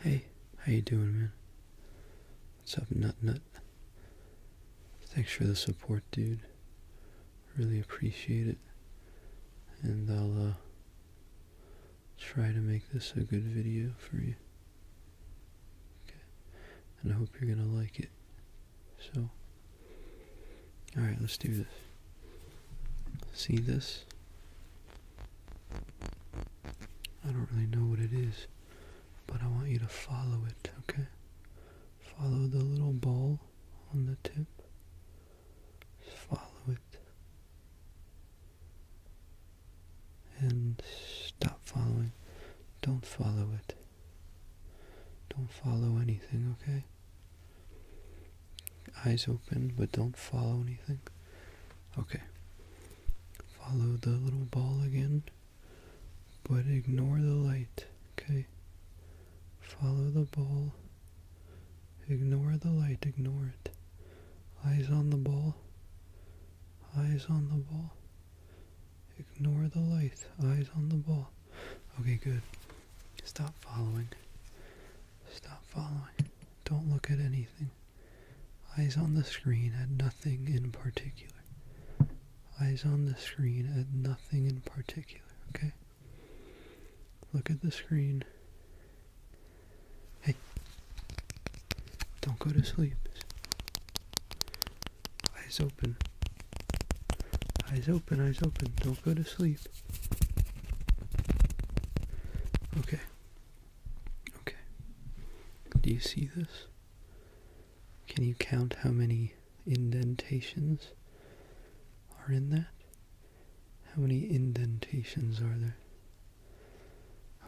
Hey, how you doing, man? What's up, Nut Nut? Thanks for the support, dude. Really appreciate it. And I'll uh, try to make this a good video for you. Okay. And I hope you're gonna like it. So, alright, let's do this. See this? I don't really know what it is, but I want you to follow it, okay? Follow the little ball on the tip. Just follow it. And stop following. Don't follow it. Don't follow anything, okay? Eyes open, but don't follow anything. Okay. Follow the little ball again, but ignore the light. Okay. Follow the ball. Ignore the light. Ignore it. Eyes on the ball. Eyes on the ball. Ignore the light. Eyes on the ball. Okay, good. Stop following. Stop following. Don't look at anything. Eyes on the screen at nothing in particular. Eyes on the screen at nothing in particular, okay? Look at the screen. Hey, don't go to sleep. Eyes open. Eyes open, eyes open. Don't go to sleep. Okay. Okay. Do you see this? Can you count how many indentations are in that? How many indentations are there?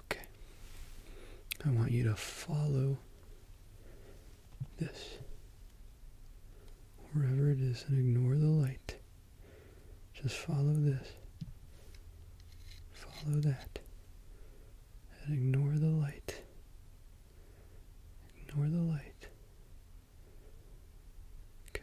Okay. I want you to follow this wherever it is and ignore the light. Just follow this. Follow that. And ignore the light. Ignore the light. Okay.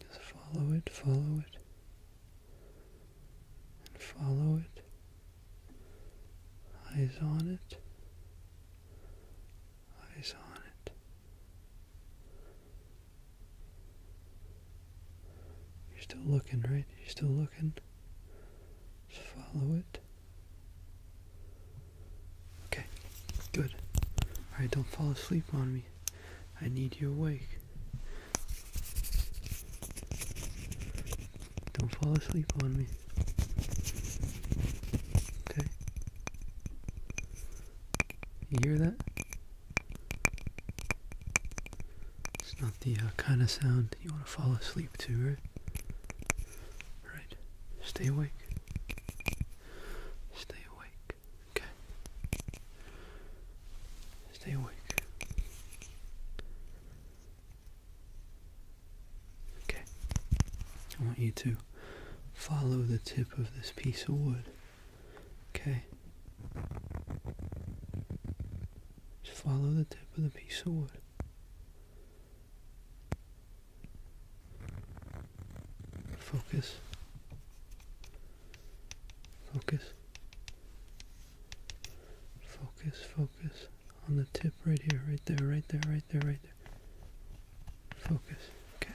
Just follow it, follow it. And follow it. Eyes on it. Eyes on it. You're still looking, right? You're still looking. Just follow it. Okay, good. Alright, don't fall asleep on me. I need you awake. Don't fall asleep on me. Okay? You hear that? It's not the uh, kind of sound you want to fall asleep to, right? Right. Stay awake. Stay awake. Okay. Stay awake. Okay. I want you to follow the tip of this piece of wood Okay. Just follow the tip of the piece of wood. Focus. Focus. Focus, focus on the tip right here, right there, right there, right there, right there. Focus. Okay.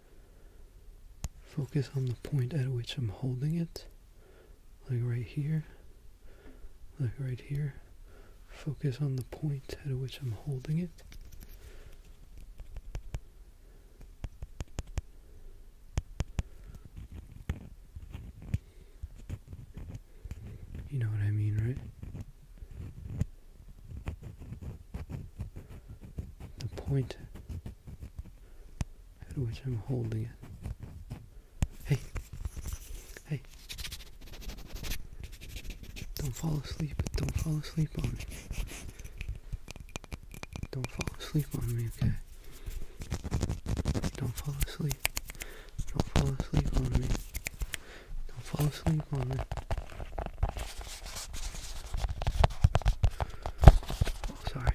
Focus on the point at which I'm holding it, like right here, like right here. Focus on the point at which I'm holding it. You know what I mean, right? the point at which I'm holding it. Hey, hey, don't fall asleep, don't fall asleep on me. Don't fall asleep on me, okay? Don't fall asleep. Don't fall asleep on me. Don't fall asleep on me. Oh, sorry.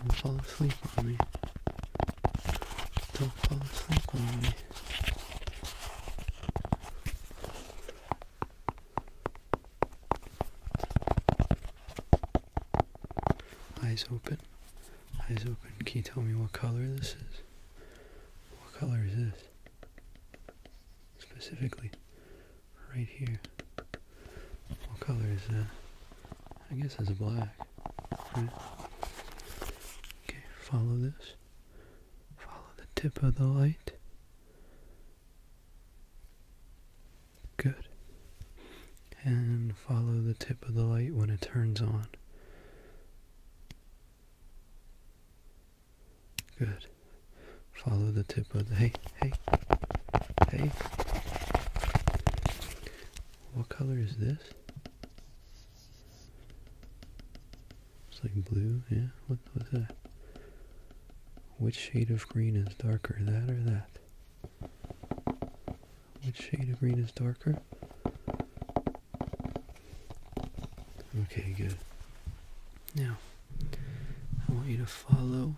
Don't fall asleep on me. Don't fall asleep on me. Eyes open. Eyes open. Can you tell me what color this is? What color is this? specifically right here. What color is that? I guess it's black. Okay, follow this. Follow the tip of the light. Good. And follow the tip of the light when it turns on. Good. Follow the tip of the. Hey, hey, hey. What color is this? It's like blue, yeah? What was that? Which shade of green is darker, that or that? Which shade of green is darker? Okay, good. Now, I want you to follow.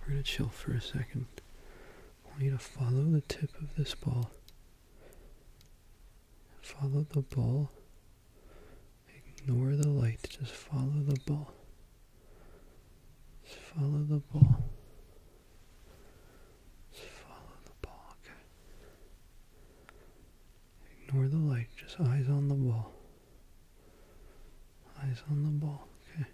We're going to chill for a second. I want you to follow the tip of this ball. Follow the ball. Ignore the light. Just follow the ball. Just follow the ball. Just follow the ball. Okay. Ignore the light, just eyes on the ball. Eyes on the ball, okay.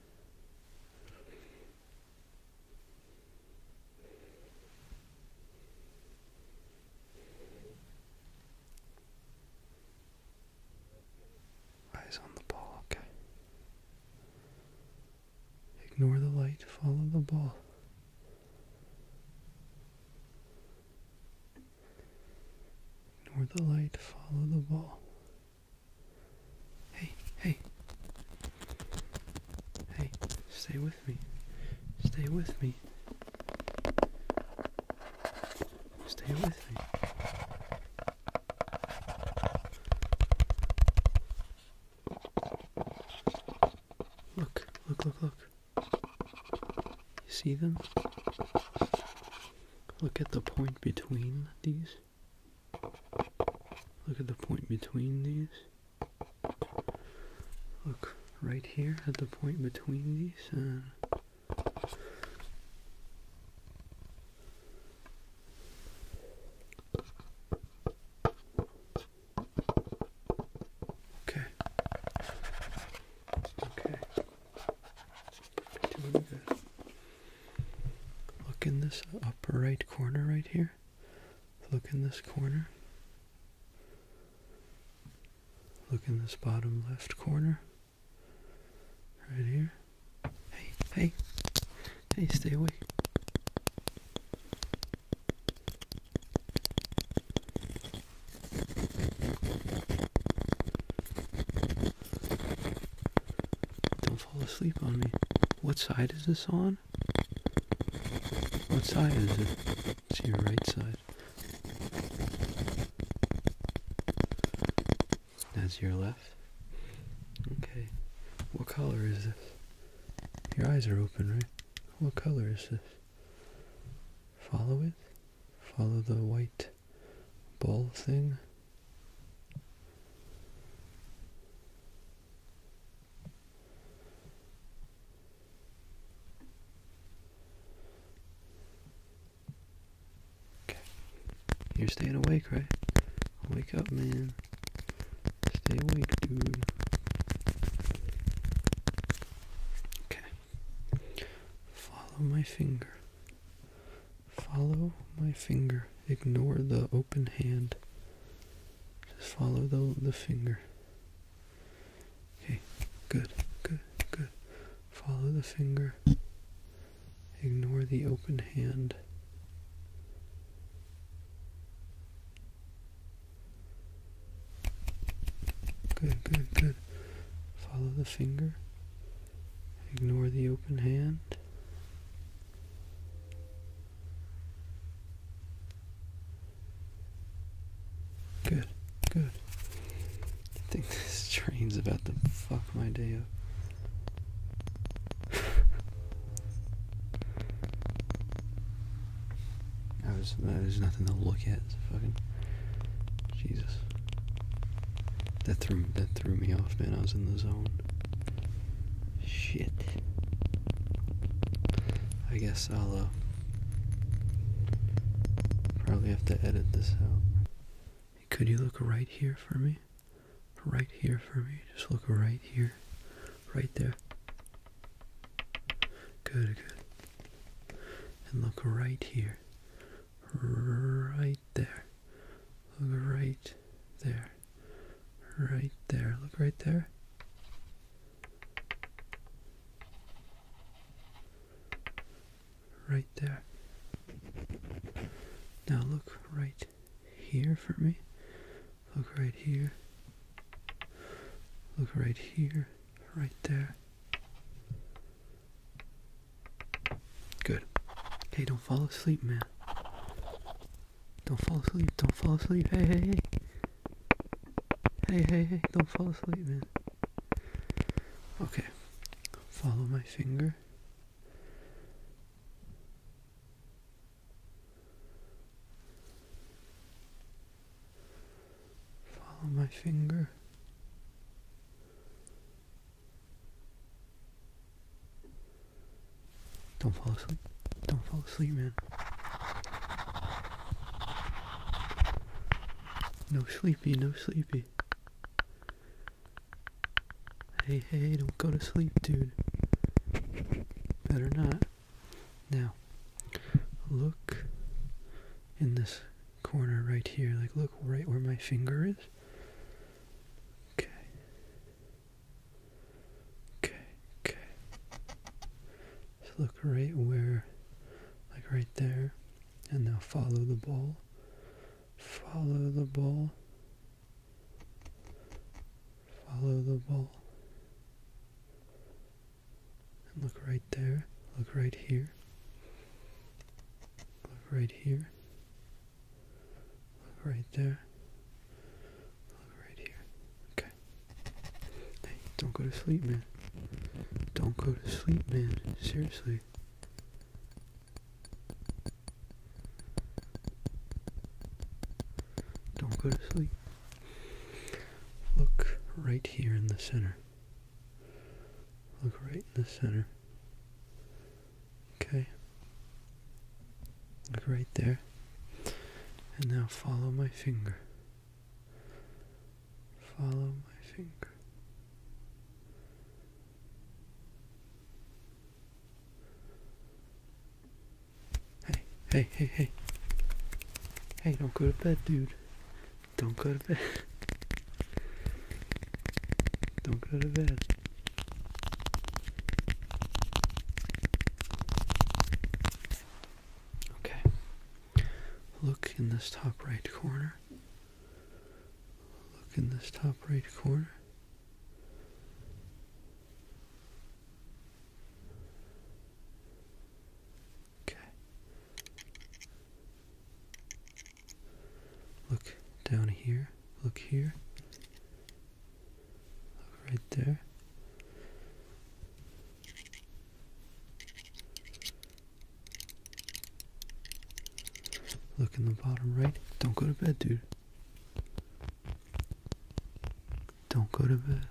Eyes on the ball, okay. Ignore the light, follow the ball. Ignore the light, follow the ball. Hey, hey. Hey, stay with me. Stay with me. Stay with me. Look, look, look, look see them? Look at the point between these. Look at the point between these. Look right here at the point between these. Okay. Okay. Look in this upper right corner right here. Look in this corner. Look in this bottom left corner. Right here. Hey, hey. Hey, stay away. Don't fall asleep on me. What side is this on? What side is it? It's your right side. That's your left. Okay. What color is this? Your eyes are open, right? What color is this? Follow it. Follow the white ball thing. Okay. You're staying awake, right? Wake up, man. Stay awake, dude. Okay. Follow my finger. Follow my finger. Ignore the open hand. Just follow the the finger. Okay, good, good, good. Follow the finger. Ignore the open hand. Good, good, good. Follow the finger. Ignore the open hand. Good, good. I think this train's about to fuck my day up. I was, uh, there's nothing to look at. fucking Jesus. That threw that threw me off, man. I was in the zone. Shit. I guess I'll uh, probably have to edit this out. Could you look right here for me? Right here for me. Just look right here. Right there. Good, good. And look right here right there. Look right there. Right there. Look right there. Right there. Now look right here for me. Look right here. Look right here. Right there. Good. Hey, don't fall asleep, man. Don't fall asleep. Don't fall asleep. Hey, hey, hey. Hey, hey, hey. Don't fall asleep, man. Okay. Follow my finger. Follow my finger. Don't fall asleep. Don't fall asleep, man. No sleepy, no sleepy. Hey, hey, don't go to sleep, dude. Better not. Now, look in this corner right here. Like, look right where my finger is. Okay. Okay, okay. So look right where, like right there. And now follow the ball. Follow the ball. Follow the ball. And look right there. Look right here right here, right there, right here. Okay. Hey, don't go to sleep, man. Don't go to sleep, man. Seriously. Don't go to sleep. Look right here in the center. Look right in the center. Okay. Look right there. And now follow my finger. Follow my finger. Hey, hey, hey, hey. Hey, don't go to bed, dude. Don't go to bed. Don't go to bed. Okay. Look in this top right corner. Look in this top right corner. Okay. Look down here. Look here. Look right there. Look in the bottom right. Don't go to bed, dude. Don't go to bed.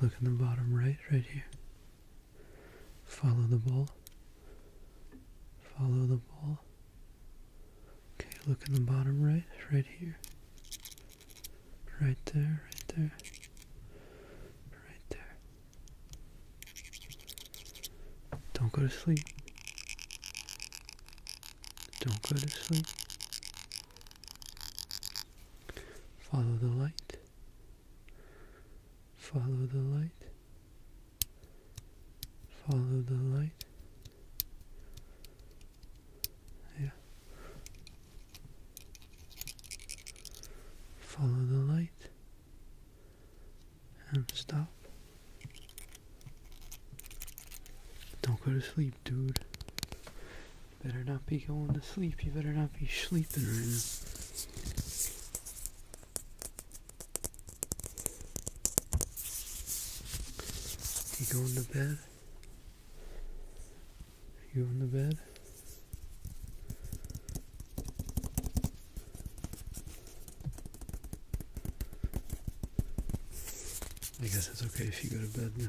Look in the bottom right, right here. Follow the ball. Follow the ball. Okay, look in the bottom right, right here. Right there, right there. Right there. Don't go to sleep. Don't go to sleep. Follow the light. Follow the light. Follow the light. Yeah. Follow the light and stop. Don't go to sleep dude. You better not be going to sleep. You better not be sleeping right now. You going to bed? You going to bed? I guess it's okay if you go to bed now.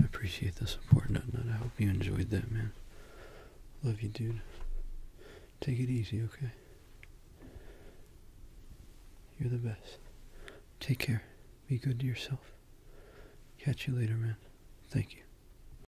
I appreciate the support, Nut I hope you enjoyed that, man. Love you, dude. Take it easy, okay? You're the best. Take care. Be good to yourself. Catch you later, man. Thank you.